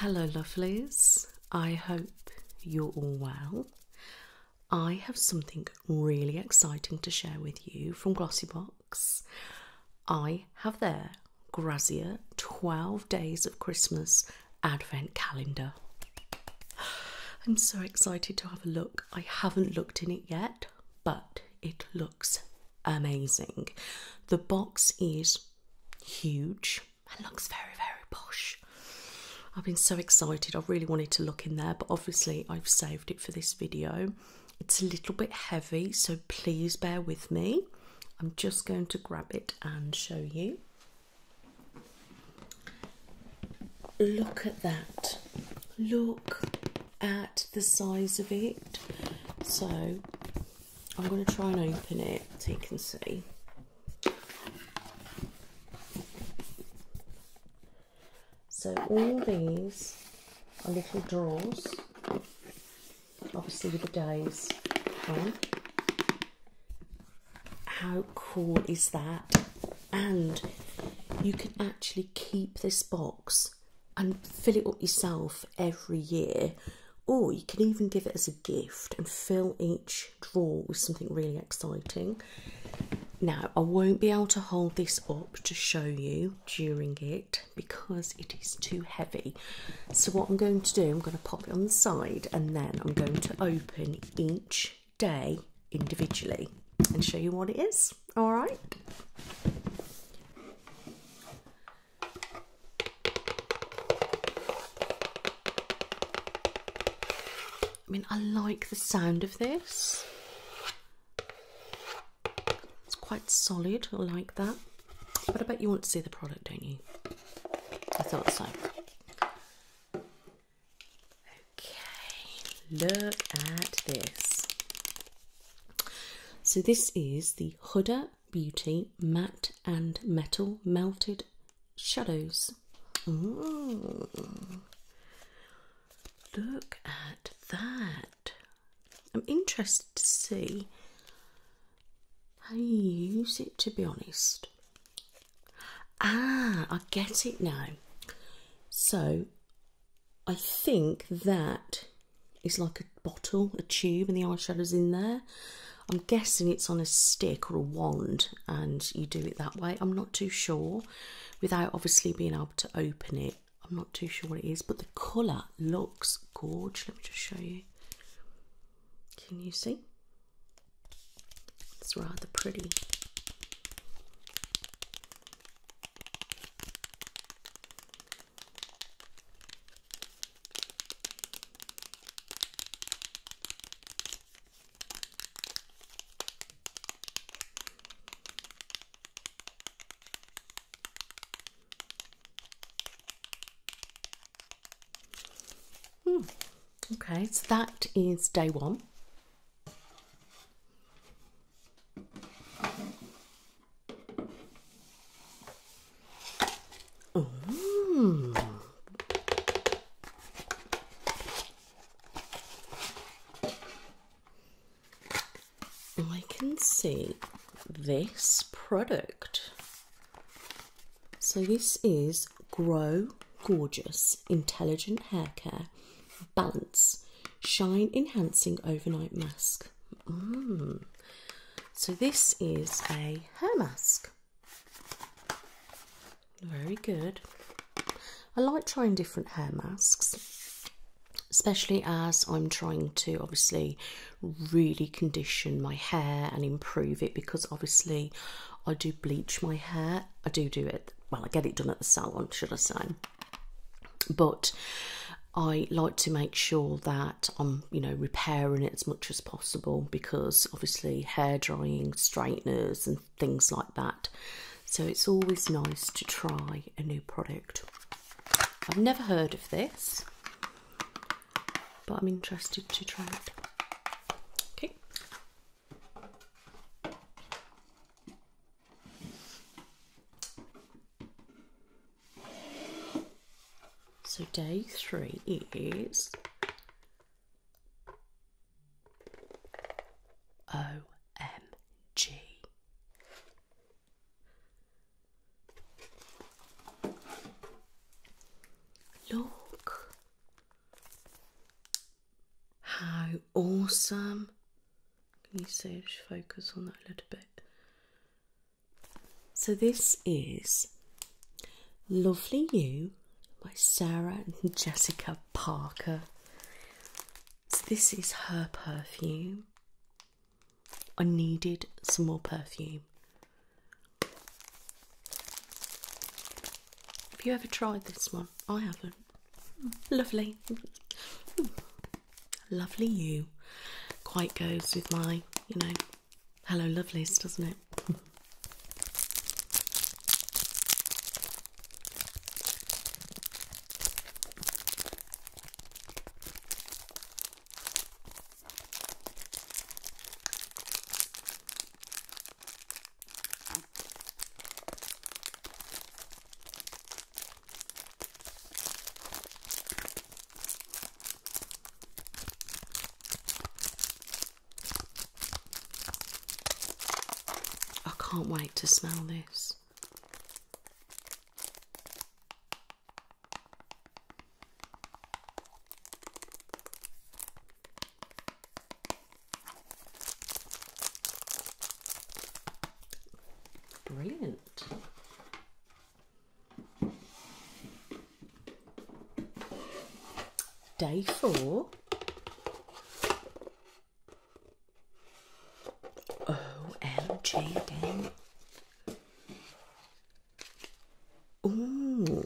Hello, lovelies. I hope you're all well. I have something really exciting to share with you from Glossybox. I have their Grazia 12 Days of Christmas Advent Calendar. I'm so excited to have a look. I haven't looked in it yet, but it looks amazing. The box is huge and looks very, very posh. I've been so excited. I really wanted to look in there, but obviously, I've saved it for this video. It's a little bit heavy, so please bear with me. I'm just going to grab it and show you. Look at that. Look at the size of it. So I'm going to try and open it so you can see. So all these are little drawers, obviously with the days on. How cool is that? And you can actually keep this box and fill it up yourself every year, or you can even give it as a gift and fill each drawer with something really exciting. Now, I won't be able to hold this up to show you during it because it is too heavy. So, what I'm going to do, I'm going to pop it on the side and then I'm going to open each day individually and show you what it is. All right. I mean, I like the sound of this. It's quite solid. like that. But I bet you want to see the product, don't you? I thought so. Okay, look at this. So this is the Huda Beauty Matte and Metal Melted Shadows. Look at that. I'm interested to see how you use it, to be honest. Ah, I get it now. So I think that is like a bottle, a tube, and the eyeshadow's in there. I'm guessing it's on a stick or a wand and you do it that way. I'm not too sure without obviously being able to open it. I'm not too sure what it is, but the colour looks gorgeous. Let me just show you. Can you see? It's rather pretty. Hmm. Okay, so that is day one. Hmm. I can see this product. So this is Grow Gorgeous Intelligent Hair Care Balance Shine Enhancing Overnight Mask. Mm. So, this is a hair mask. Very good. I like trying different hair masks, especially as I'm trying to obviously really condition my hair and improve it because obviously I do bleach my hair. I do do it well, I get it done at the salon, should I say? But I like to make sure that I'm, you know, repairing it as much as possible because obviously hair drying, straighteners, and things like that. So it's always nice to try a new product. I've never heard of this, but I'm interested to try it. Okay, so day three is OMG. Look, how awesome. Can you see just focus on that a little bit? So this is Lovely You by Sarah and Jessica Parker. So this is her perfume. I needed some more perfume. Have you ever tried this one? I haven't. Lovely. Lovely you. Quite goes with my, you know, hello lovelies, doesn't it? I can't wait to smell this. Brilliant. Day four. OMG again. Ooh.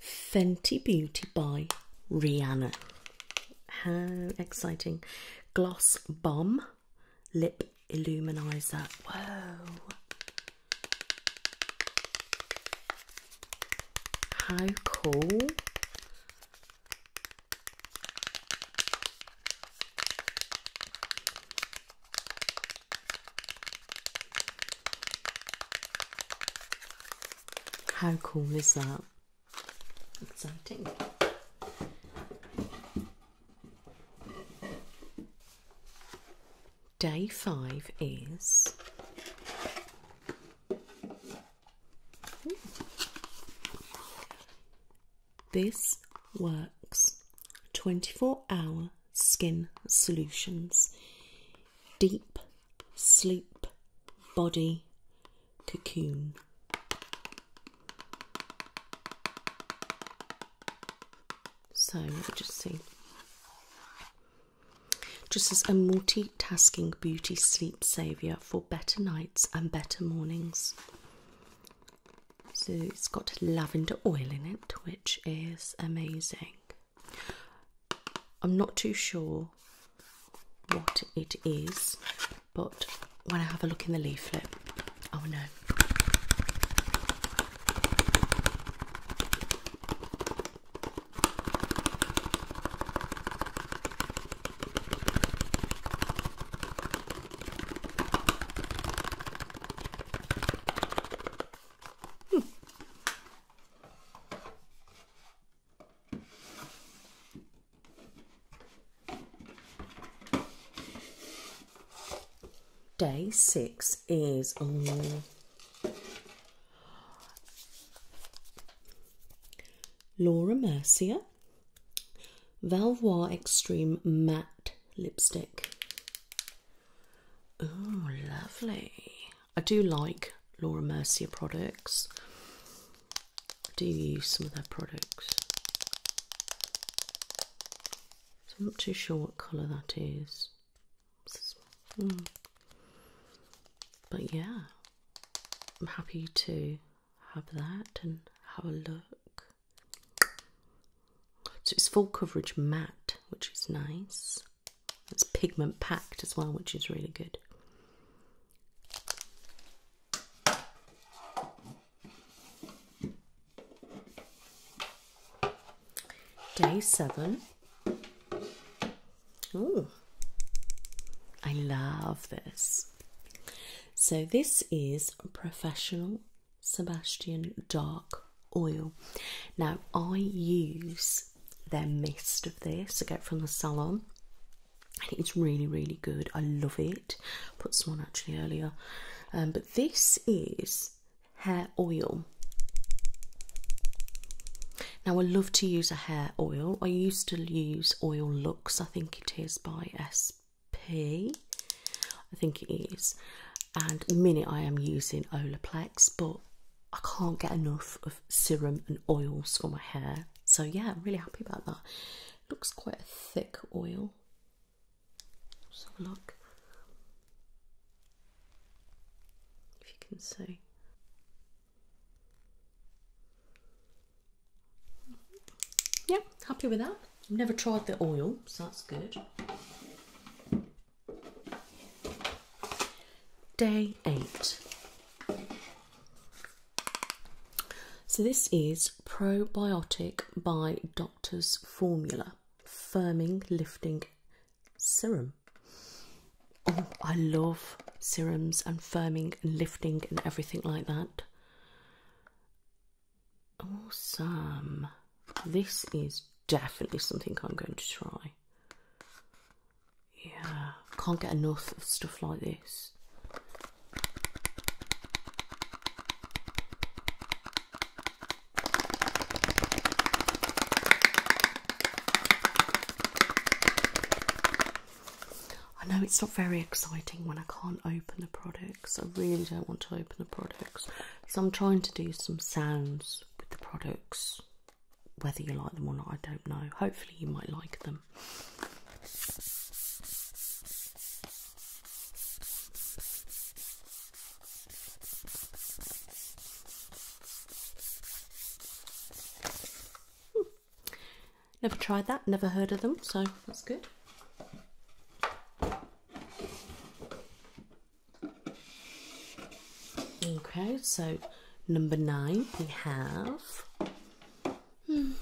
Fenty Beauty by Rihanna. How exciting! Gloss Bomb Lip Illuminizer. Whoa! How cool! How cool is that? Exciting. Day five is this works 24 hour skin solutions. Deep sleep body cocoon. So let me just see. Just as a multitasking beauty sleep saviour for better nights and better mornings. So it's got lavender oil in it, which is amazing. I'm not too sure what it is, but when I have a look in the leaflet, I'll Day six is um, Laura Mercier Valvoir Extreme Matte Lipstick. Oh, lovely. I do like Laura Mercier products. I do use some of their products. I'm not too sure what colour that is. Hmm. But yeah, I'm happy to have that and have a look. So it's full coverage matte, which is nice. It's pigment packed as well, which is really good. Day seven. Oh, I love this. So, this is professional Sebastian Dark Oil. Now, I use their mist of this. I get from the salon. And it's really, really good. I love it. Put some on actually earlier. Um, but this is hair oil. Now, I love to use a hair oil. I used to use Oil Looks. I think it is by SP. I think it is. And the minute I am using Olaplex, but I can't get enough of serum and oils for my hair. So yeah, I'm really happy about that. looks quite a thick oil. let look. If you can see. Yep, yeah, happy with that. I've never tried the oil, so that's good. Day 8. So, this is Probiotic by Doctor's Formula Firming Lifting Serum. Oh, I love serums and firming and lifting and everything like that. Awesome. This is definitely something I'm going to try. Yeah, can't get enough of stuff like this. I know it's not very exciting when I can't open the products. I really don't want to open the products. So I'm trying to do some sounds with the products. Whether you like them or not, I don't know. Hopefully, you might like them. Hmm. Never tried that, never heard of them, so that's good. Okay, so number nine we have. Hmm,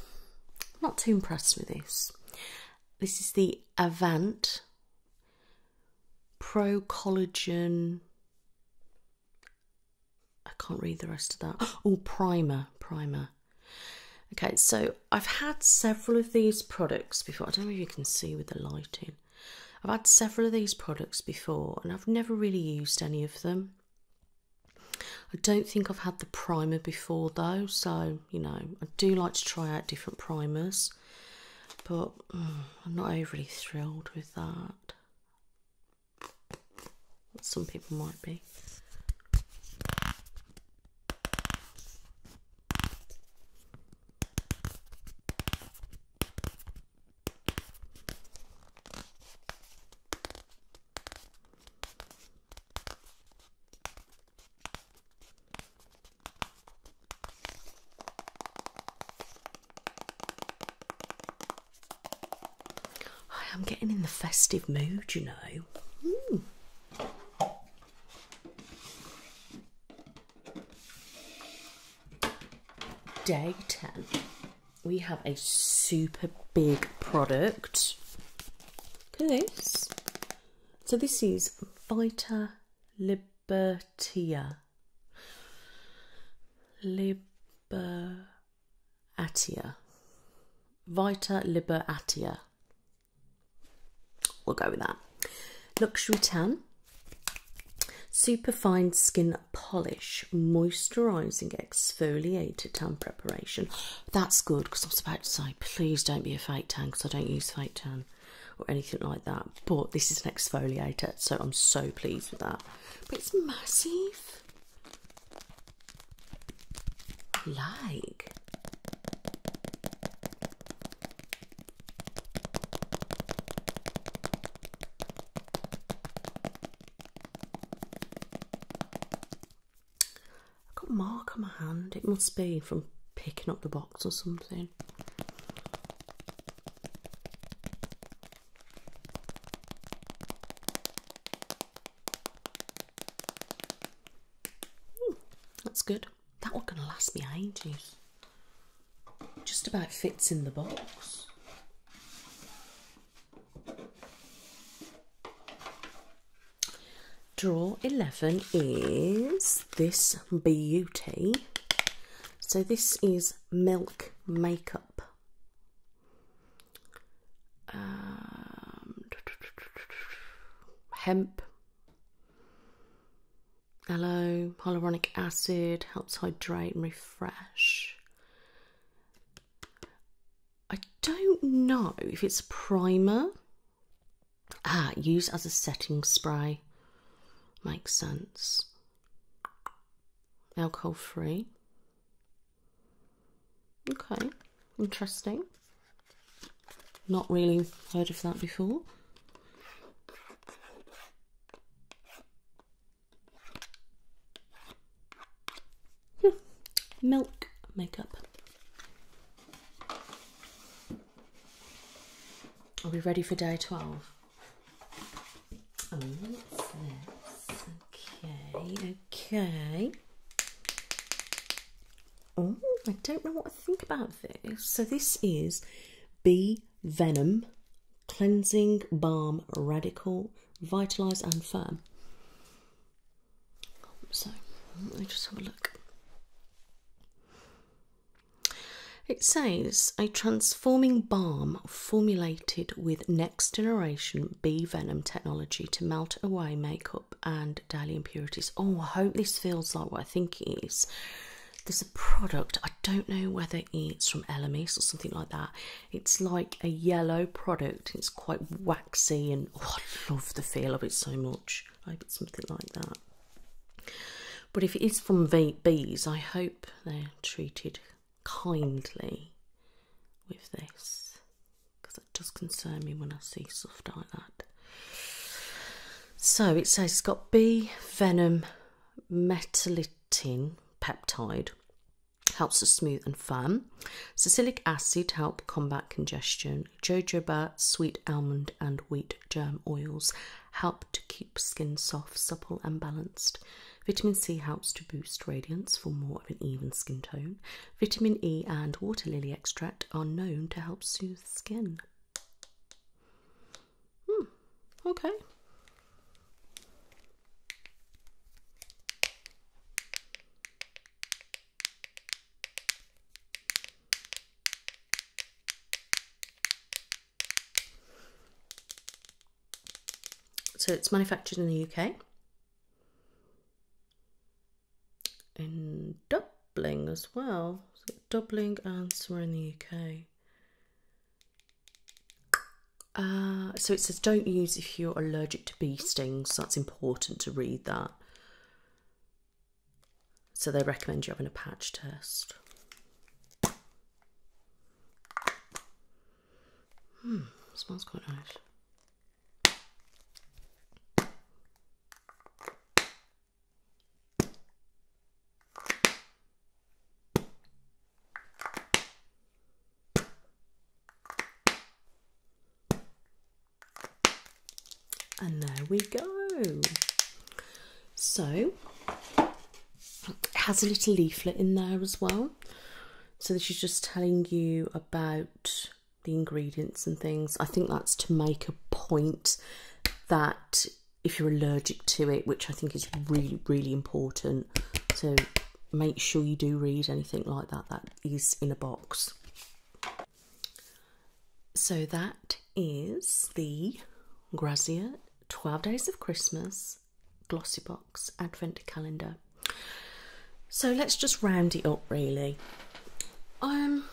not too impressed with this. This is the Avant Pro Collagen. I can't read the rest of that. Oh, primer, primer. Okay, so I've had several of these products before. I don't know if you can see with the lighting. I've had several of these products before and I've never really used any of them. I don't think I've had the primer before though, so you know, I do like to try out different primers, but mm, I'm not overly thrilled with that. Some people might be. I am getting in the festive mood, you know. Mm. Day 10. We have a super big product. Look at this. So this is Vita Libertia. Liberatia. Vita Liberatia. We'll go with that. Luxury Tan. Superfine Skin Polish Moisturising Exfoliated Tan Preparation. That's good because I was about to say, please don't be a fake tan because I don't use fake tan or anything like that. But this is an exfoliator, so I'm so pleased with that. But it's massive. Like, I've got a mark on my hand. It must be from picking up the box or something. Hmm, that's good that one can last me ages. Just about fits in the box. Draw 11 is this beauty. So this is Milk Makeup. Um, hemp aloe, hyaluronic acid helps hydrate and refresh. I don't know if it's primer. Ah, use as a setting spray. Makes sense. Alcohol free. Okay, interesting. Not really heard of that before. Hmm. Milk makeup. Are we ready for day 12? Okay, okay. Oh, I don't know what I think about this. So this is B Venom Cleansing Balm Radical Vitalize and Firm. So let me just have a look. It says a transforming balm formulated with next generation B venom technology to melt away makeup and and daily impurities. Oh, I hope this feels like what I think it is. There's a product, I don't know whether it's from Elemis or something like that. It's like a yellow product, it's quite waxy, and oh, I love the feel of it so much. I hope something like that. But if it is from bees, I hope they're treated kindly with this because it does concern me when I see stuff like that. So it says it's got B venom metallitin peptide, helps to smooth and firm. Salicylic acid help combat congestion. Jojoba, sweet almond, and wheat germ oils help to keep skin soft, supple, and balanced. Vitamin C helps to boost radiance for more of an even skin tone. Vitamin E and water lily extract are known to help soothe skin. Hmm, okay. So it's manufactured in the UK in Dublin as well. So Dublin and in the UK. Uh, so it says don't use if you're allergic to bee stings. that's important to read that. So they recommend you having a patch test. Hmm, smells quite nice. And there we go. So it has a little leaflet in there as well. So this is just telling you about the ingredients and things. I think that's to make a point that if you're allergic to it, which I think is really, really important. So make sure you do read anything like that that is in a box. So that is the Grazia 12 Days of Christmas Glossy Box Advent Calendar. So let's just round it up really. Um,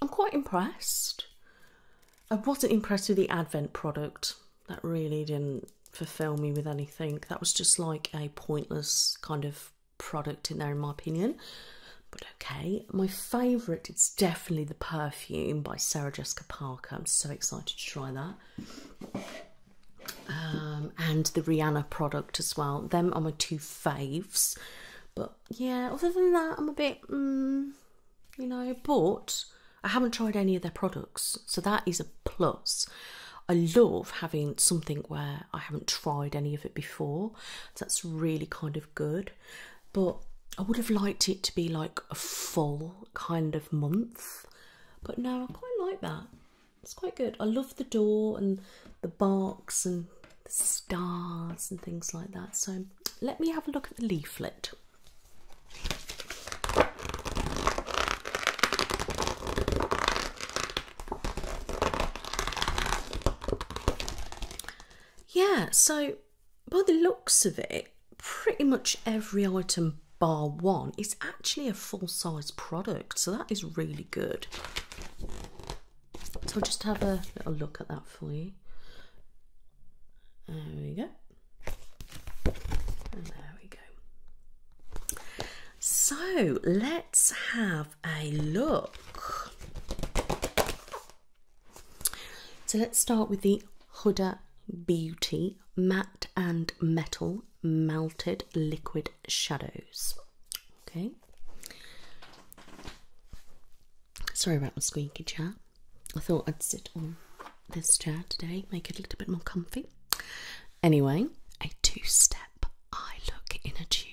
I'm quite impressed. I wasn't impressed with the Advent product. That really didn't fulfill me with anything. That was just like a pointless kind of product in there, in my opinion. But okay, my favourite is definitely the perfume by Sarah Jessica Parker. I'm so excited to try that. Um, and the Rihanna product as well. Them are my two faves. But yeah, other than that, I'm a bit, mm, you know, but I haven't tried any of their products, so that is a plus. I love having something where I haven't tried any of it before, that's really kind of good. But I would have liked it to be like a full kind of month, but no, I quite like that. It's quite good. I love the door and the barks and the stars and things like that. So let me have a look at the leaflet. Yeah, so by the looks of it, pretty much every item bar one is actually a full size product, so that is really good. So I'll just have a little look at that for you. There we go. And there we go. So let's have a look. So let's start with the Huda Beauty Matte and Metal Melted Liquid Shadows. Okay. Sorry about my squeaky chair. I thought I'd sit on this chair today, make it a little bit more comfy. Anyway, a two step eye look in a tube.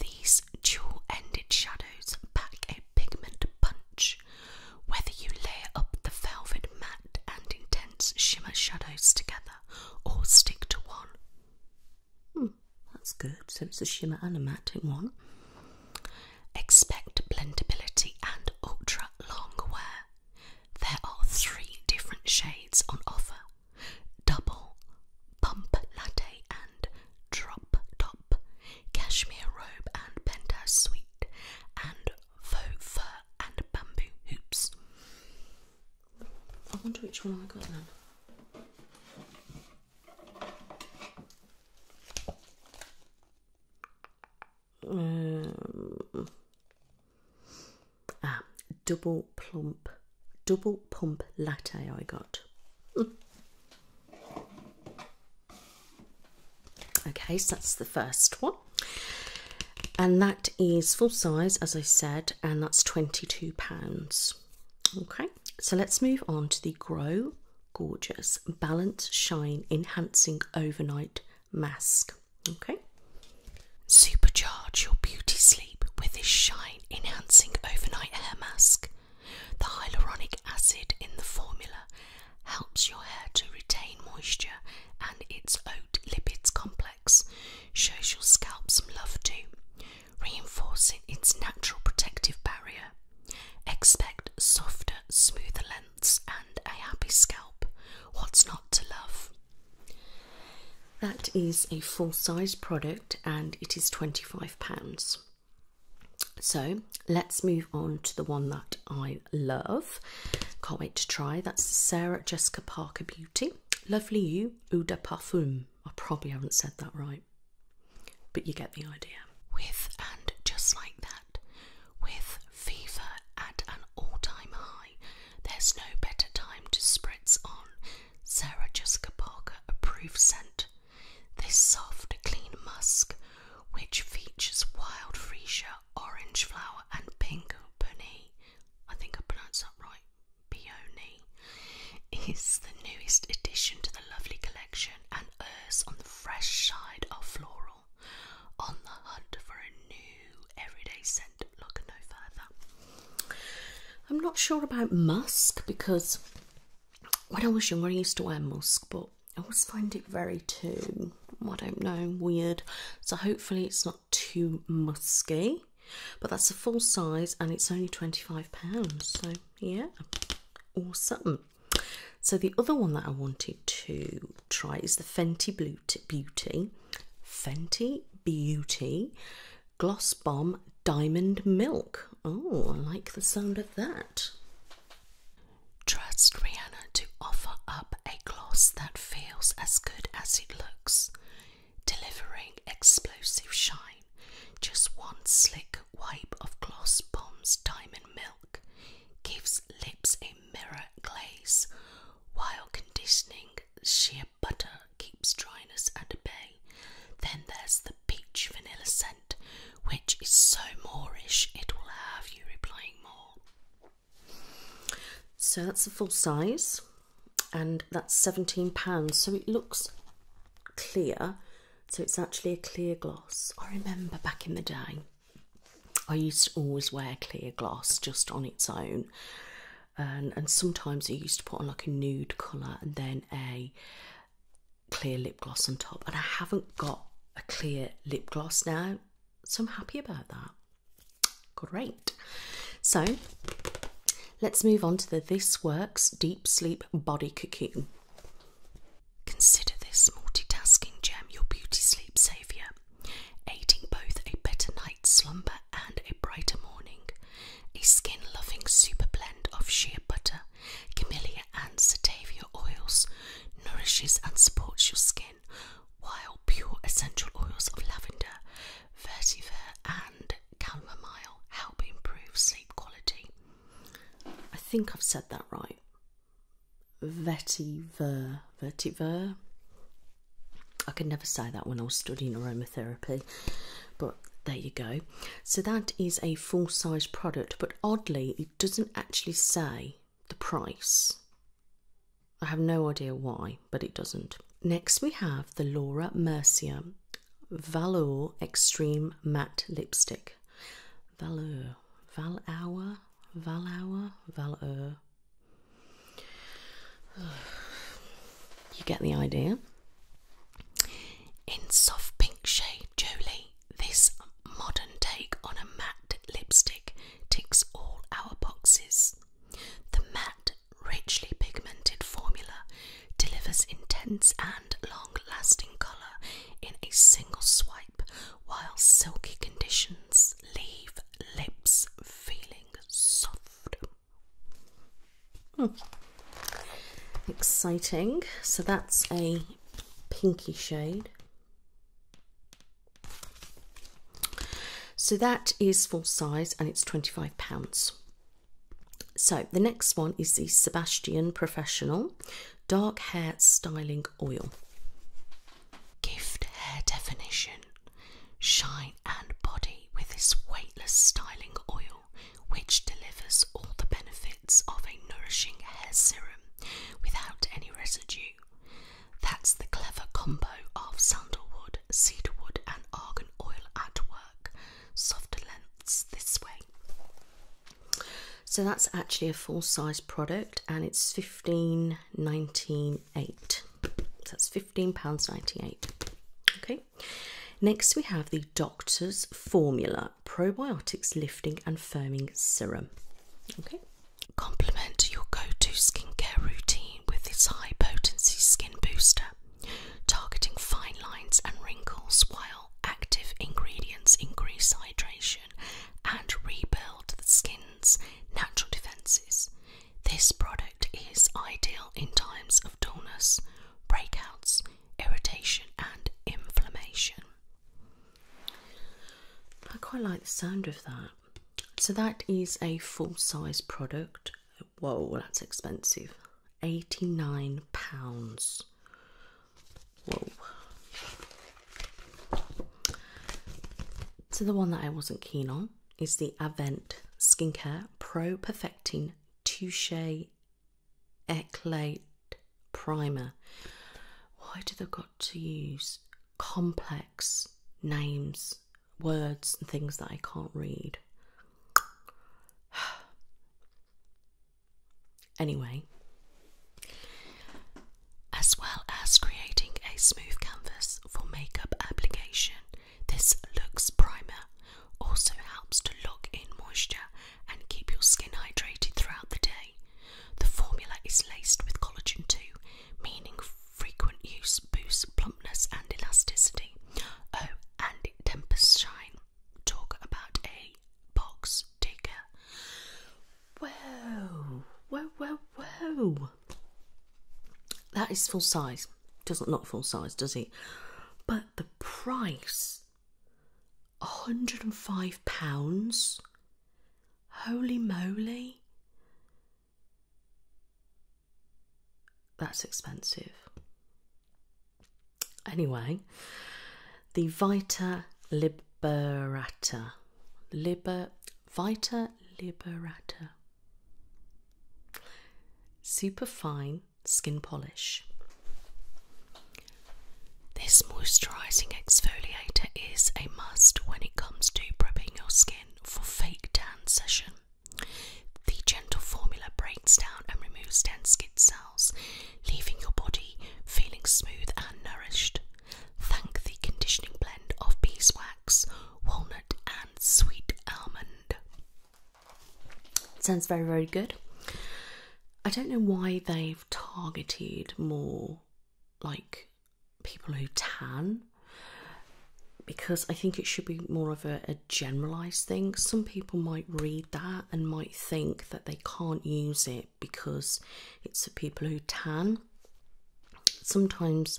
These dual ended shadows pack a pigment punch. Whether you layer up the velvet matte and intense shimmer shadows together or stick to one, Hmm, that's good. So it's a shimmer and a matting one. Expect blendability and ultra long wear. There are three different shades on offer double, pump latte, and drop top, cashmere robe and penthouse suite, and faux fur and bamboo hoops. I wonder which one I got now. Um, ah, double plump, double pump latte I got. okay, so that's the first one. And that is full size, as I said, and that's £22. Okay, so let's move on to the Grow Gorgeous Balance Shine Enhancing Overnight Mask. Okay, supercharge your beauty sleep with this shine enhancing overnight hair mask. The hyaluronic acid in the formula helps your hair to retain moisture and its oat lipids complex shows your scalp some love too reinforcing its natural protective barrier. Expect softer, smoother lengths and a happy scalp. What's not to love? That is a full sized product and it is £25. So let's move on to the one that I love. Can't wait to try. That's Sarah Jessica Parker Beauty. Lovely You Eau de Parfum. I probably haven't said that right. But you get the idea. With and just like that, with fever at an all time high, there's no better time to spritz on Sarah Jessica Parker approved scent. This soft, clean musk, which features wild freesia, orange flower, and pink bunny. I think I pronounced that right. Peony is the newest addition to the lovely collection and errs on the fresh side of floral. On the hunt for a new everyday scent, look no further. I'm not sure about musk because when I was younger I used to wear musk, but I always find it very too, I don't know, weird. So hopefully it's not too musky. But that's a full size and it's only £25. So, yeah, awesome. So, the other one that I wanted to try is the Fenty Beauty. Fenty Beauty Gloss Bomb Diamond Milk. Oh, I like the sound of that. Trust Rihanna to offer up a gloss that feels as good as it looks delivering explosive shine. Just one slick wipe of Gloss Bomb's Diamond Milk gives lips a mirror glaze, while conditioning sheer butter keeps dryness at bay. Then there's the peach vanilla scent, which is so Moorish it will have you replying more. So that's the full size and that's £17. So it looks clear, so it's actually a clear gloss. I remember back in the day, I used to always wear clear gloss just on its own, and, and sometimes I used to put on like a nude colour and then a clear lip gloss on top. And I haven't got a clear lip gloss now, so I'm happy about that. Great. So Let's move on to the This Works Deep Sleep Body Cocoon. Consider this multitasking gem your beauty sleep saviour, aiding both a better night's slumber and a brighter morning. A skin loving super blend of shea butter, camellia, and satavia oils nourishes and supports your skin, while pure essential oils of lavender, vetiver, and chamomile help improve sleep quality. I think I've said that right. Vetiver, vetiver. I could never say that when I was studying aromatherapy, but there you go. So that is a full size product, but oddly, it doesn't actually say the price. I have no idea why, but it doesn't. Next, we have the Laura Mercier Valour Extreme Matte Lipstick. Valour, Valour, Valour, Valour. You get the idea. In soft pink shade, Jolie, this modern take on a matte lipstick ticks all our boxes. The matte richly pigmented formula delivers intense and long lasting colour in a single swipe, while silky conditions leave lips feeling soft. Hmm. Exciting. So that's a pinky shade. So that is full size and it's £25. So, the next one is the Sebastian Professional Dark Hair Styling Oil. Gift hair definition, shine and body with this weightless styling oil, which delivers all the benefits of a nourishing hair serum without any residue. That's the clever combo of sandalwood, cedarwood, and argan oil at work work. Softer this way. So that's actually a full size product and it's £15.98. that's £15.98. Okay. Next we have the Doctor's Formula Probiotics Lifting and Firming Serum. Okay. Complement your go-to skincare routine with this high potency skin booster targeting fine lines and wrinkles while active ingredients increase hydration and rebuild the skin's natural defenses. This product is ideal in times of dullness, breakouts, irritation, and inflammation. I quite like the sound of that. So, that is a full size product. Whoa, that's expensive. 89 pounds. So the one that I wasn't keen on is the Avent Skincare Pro Perfecting Touche Eclat Primer. Why do they got to use complex names words and things that I can't read. anyway, as well as creating a smooth canvas for makeup application, this looks Primer also helps to lock in moisture and keep your skin hydrated throughout the day. The formula is laced with collagen too, meaning frequent use boosts plumpness and elasticity. Oh, and Tempest Shine talk about a box digger. Whoa, whoa, whoa, whoa. That is full size. Doesn't not full size, does it? But the price, hundred and five pounds. Holy moly! That's expensive. Anyway, the Vita Liberata. Liber, Vita Liberata. super fine skin polish. This moisturising exfoliator is a must when it comes to prepping your skin for fake tan session. The gentle formula breaks down and removes dense skin cells, leaving your body feeling smooth and nourished. Thank the conditioning blend of beeswax, walnut, and sweet almond. Sounds very, very good. I don't know why they've targeted more like people who tan because I think it should be more of a a generalized thing. Some people might read that and might think that they can't use it because it's for people who tan. Sometimes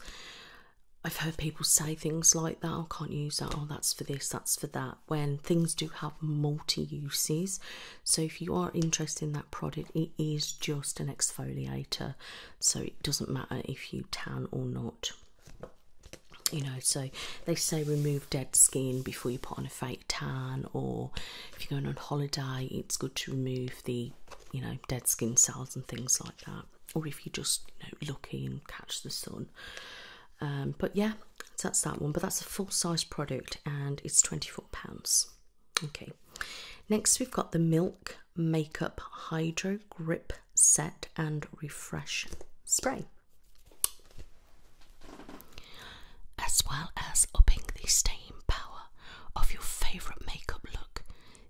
I've heard people say things like that, oh, I can't use that, oh, that's for this, that's for that, when things do have multi uses. So if you are interested in that product, it is just an exfoliator, so it doesn't matter if you tan or not. You know, so they say remove dead skin before you put on a fake tan, or if you're going on holiday, it's good to remove the you know dead skin cells and things like that, or if you're just you know lucky and catch the sun. Um, but yeah, that's that one. But that's a full size product and it's £24. Okay, next we've got the Milk Makeup Hydro Grip Set and Refresh Spray. As well as upping the staying power of your favourite makeup look,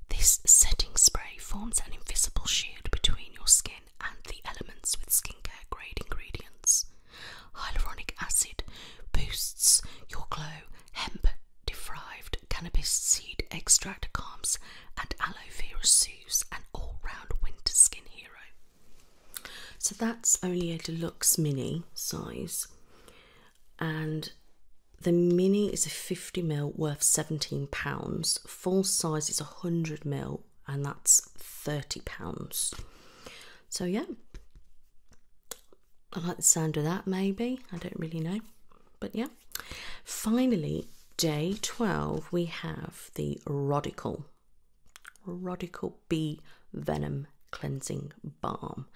this setting spray forms an invisible shield between your skin and the elements with skincare grade ingredients. Hyaluronic acid boosts your glow, hemp deprived cannabis seed extract calms, and aloe vera seed an all-round winter skin hero. So that's only a deluxe mini size, and the mini is a 50 mil worth £17. Full size is 100 mil, and that's £30. So, yeah, I like the sound of that maybe. I don't really know, but yeah. Finally, day 12, we have the Radical Radical B Venom Cleansing Balm.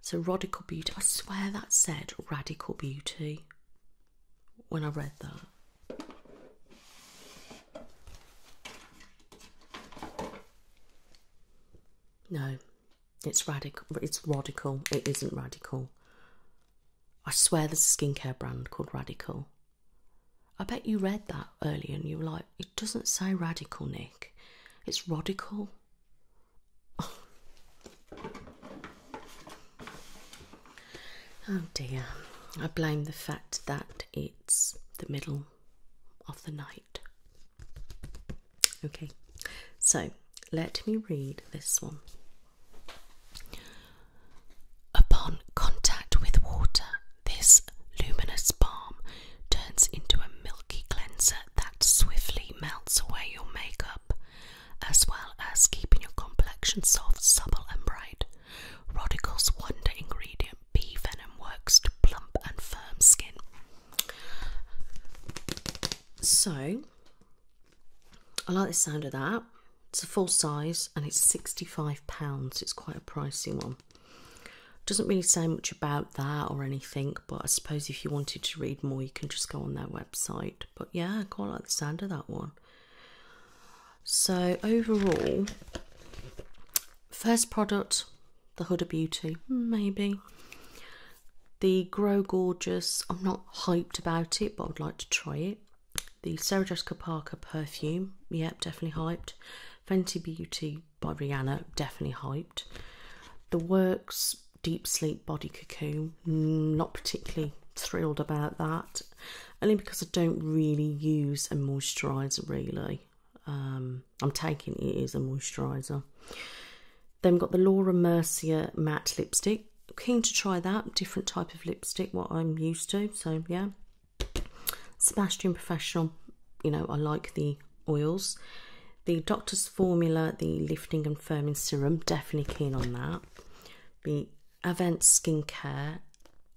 So, Radical Beauty, I swear that said Radical Beauty when I read that. No, it's radical. It's radical. It isn't radical. I swear there's a skincare brand called Radical. I bet you read that earlier and you were like, it doesn't say radical, Nick. It's radical. oh dear. I blame the fact that it's the middle of the night. Okay, so let me read this one. Upon contact with water, this luminous balm turns into a milky cleanser that swiftly melts away your makeup, as well as keeping your complexion soft, supple, and bright. Rodical's wonder ingredient bee venom works to plump and firm skin. So, I like the sound of that. It's a full size and it's £65. It's quite a pricey one. Doesn't really say much about that or anything, but I suppose if you wanted to read more, you can just go on their website. But yeah, I quite like the sound of that one. So overall, first product, the Huda Beauty, maybe. The Grow Gorgeous, I'm not hyped about it, but I would like to try it. The Sarah Jessica Parker perfume, yep, definitely hyped. Fenty Beauty by Rihanna, definitely hyped. The Works Deep Sleep Body Cocoon, mm, not particularly thrilled about that, only because I don't really use a moisturiser really. Um, I'm taking it as a moisturiser. Then we've got the Laura Mercier matte lipstick keen to try that different type of lipstick, what I'm used to. So yeah, Sebastian Professional. You know, I like the oils. The Doctor's Formula, the lifting and firming serum, definitely keen on that. The Avent Skincare,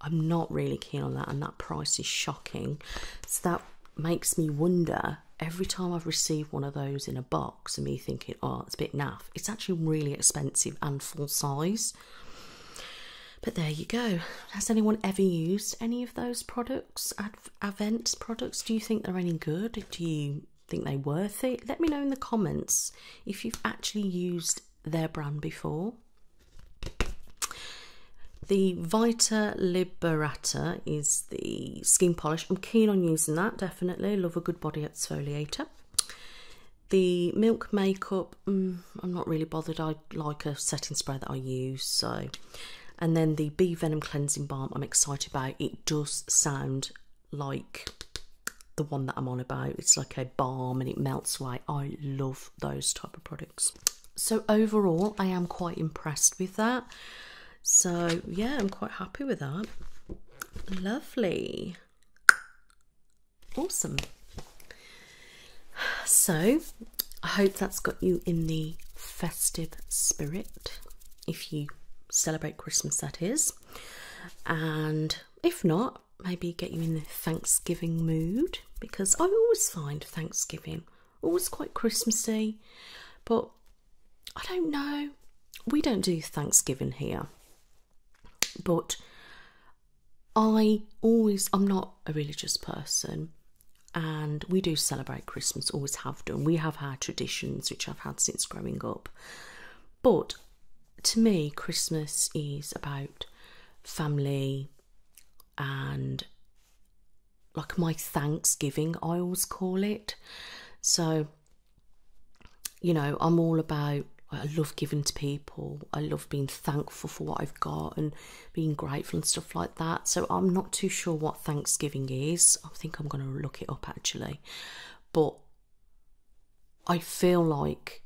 I'm not really keen on that, and that price is shocking. So that makes me wonder every time I've received one of those in a box I mean you thinking, oh, it's a bit naff. It's actually really expensive and full size. But there you go. Has anyone ever used any of those products, Avent products? Do you think they're any good? Do you think they're worth it? Let me know in the comments if you've actually used their brand before. The Vita Liberata is the skin polish. I'm keen on using that, definitely. Love a good body exfoliator. The Milk Makeup, mm, I'm not really bothered. I like a setting spray that I use, so. And then the B Venom Cleansing Balm, I'm excited about. It does sound like the one that I'm on about. It's like a balm and it melts away. I love those type of products. So overall, I am quite impressed with that. So yeah, I'm quite happy with that. Lovely awesome. So, I hope that's got you in the festive spirit if you celebrate Christmas, that is. And if not, maybe get you in the Thanksgiving mood because I always find Thanksgiving always quite Christmassy, but I don't know. We don't do Thanksgiving here. But I always, I'm not a religious person, and we do celebrate Christmas, always have done. We have our traditions, which I've had since growing up. But to me, Christmas is about family and like my Thanksgiving, I always call it. So you know, I'm all about. I love giving to people. I love being thankful for what I've got and being grateful and stuff like that. So I'm not too sure what Thanksgiving is. I think I'm going to look it up actually. But I feel like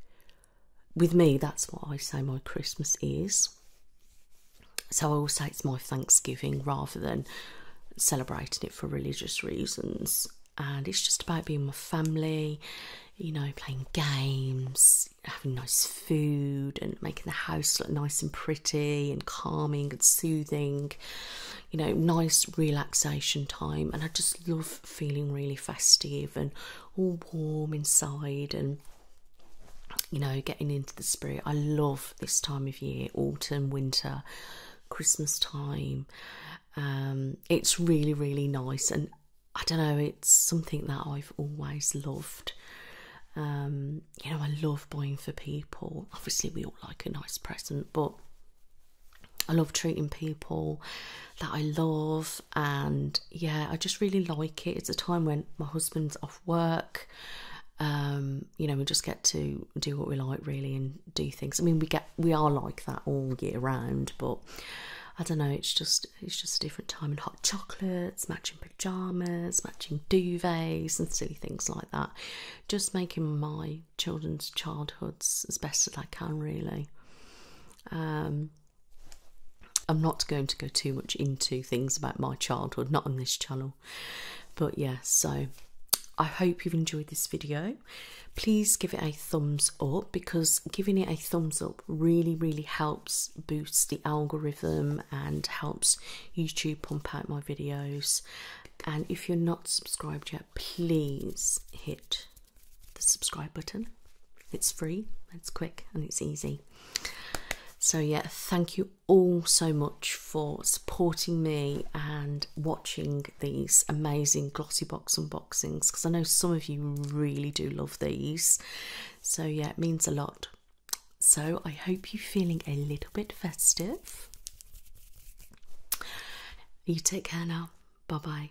with me, that's what I say my Christmas is. So I will say it's my Thanksgiving rather than celebrating it for religious reasons and it's just about being with family, you know, playing games, having nice food, and making the house look nice and pretty and calming and soothing, you know, nice relaxation time. And I just love feeling really festive and all warm inside and you know, getting into the spirit. I love this time of year, autumn, winter, Christmas time. Um, it's really, really nice, and I don't know, it's something that I've always loved. Um, you know, I love buying for people. Obviously, we all like a nice present, but I love treating people that I love, and yeah, I just really like it. It's a time when my husband's off work. Um, you know, we just get to do what we like really and do things. I mean, we get we are like that all year round, but I don't know. It's just it's just a different time and hot chocolates, matching pajamas, matching duvets, and silly things like that. Just making my children's childhoods as best as I can, really. Um, I'm not going to go too much into things about my childhood, not on this channel. But yeah, so I hope you've enjoyed this video please give it a thumbs up because giving it a thumbs up really, really helps boost the algorithm and helps YouTube pump out my videos. And if you're not subscribed yet, please hit the subscribe button. It's free, it's quick, and it's easy. So, yeah, thank you all so much for supporting me and watching these amazing glossy box unboxings because I know some of you really do love these. So, yeah, it means a lot. So, I hope you're feeling a little bit festive. You take care now. Bye bye.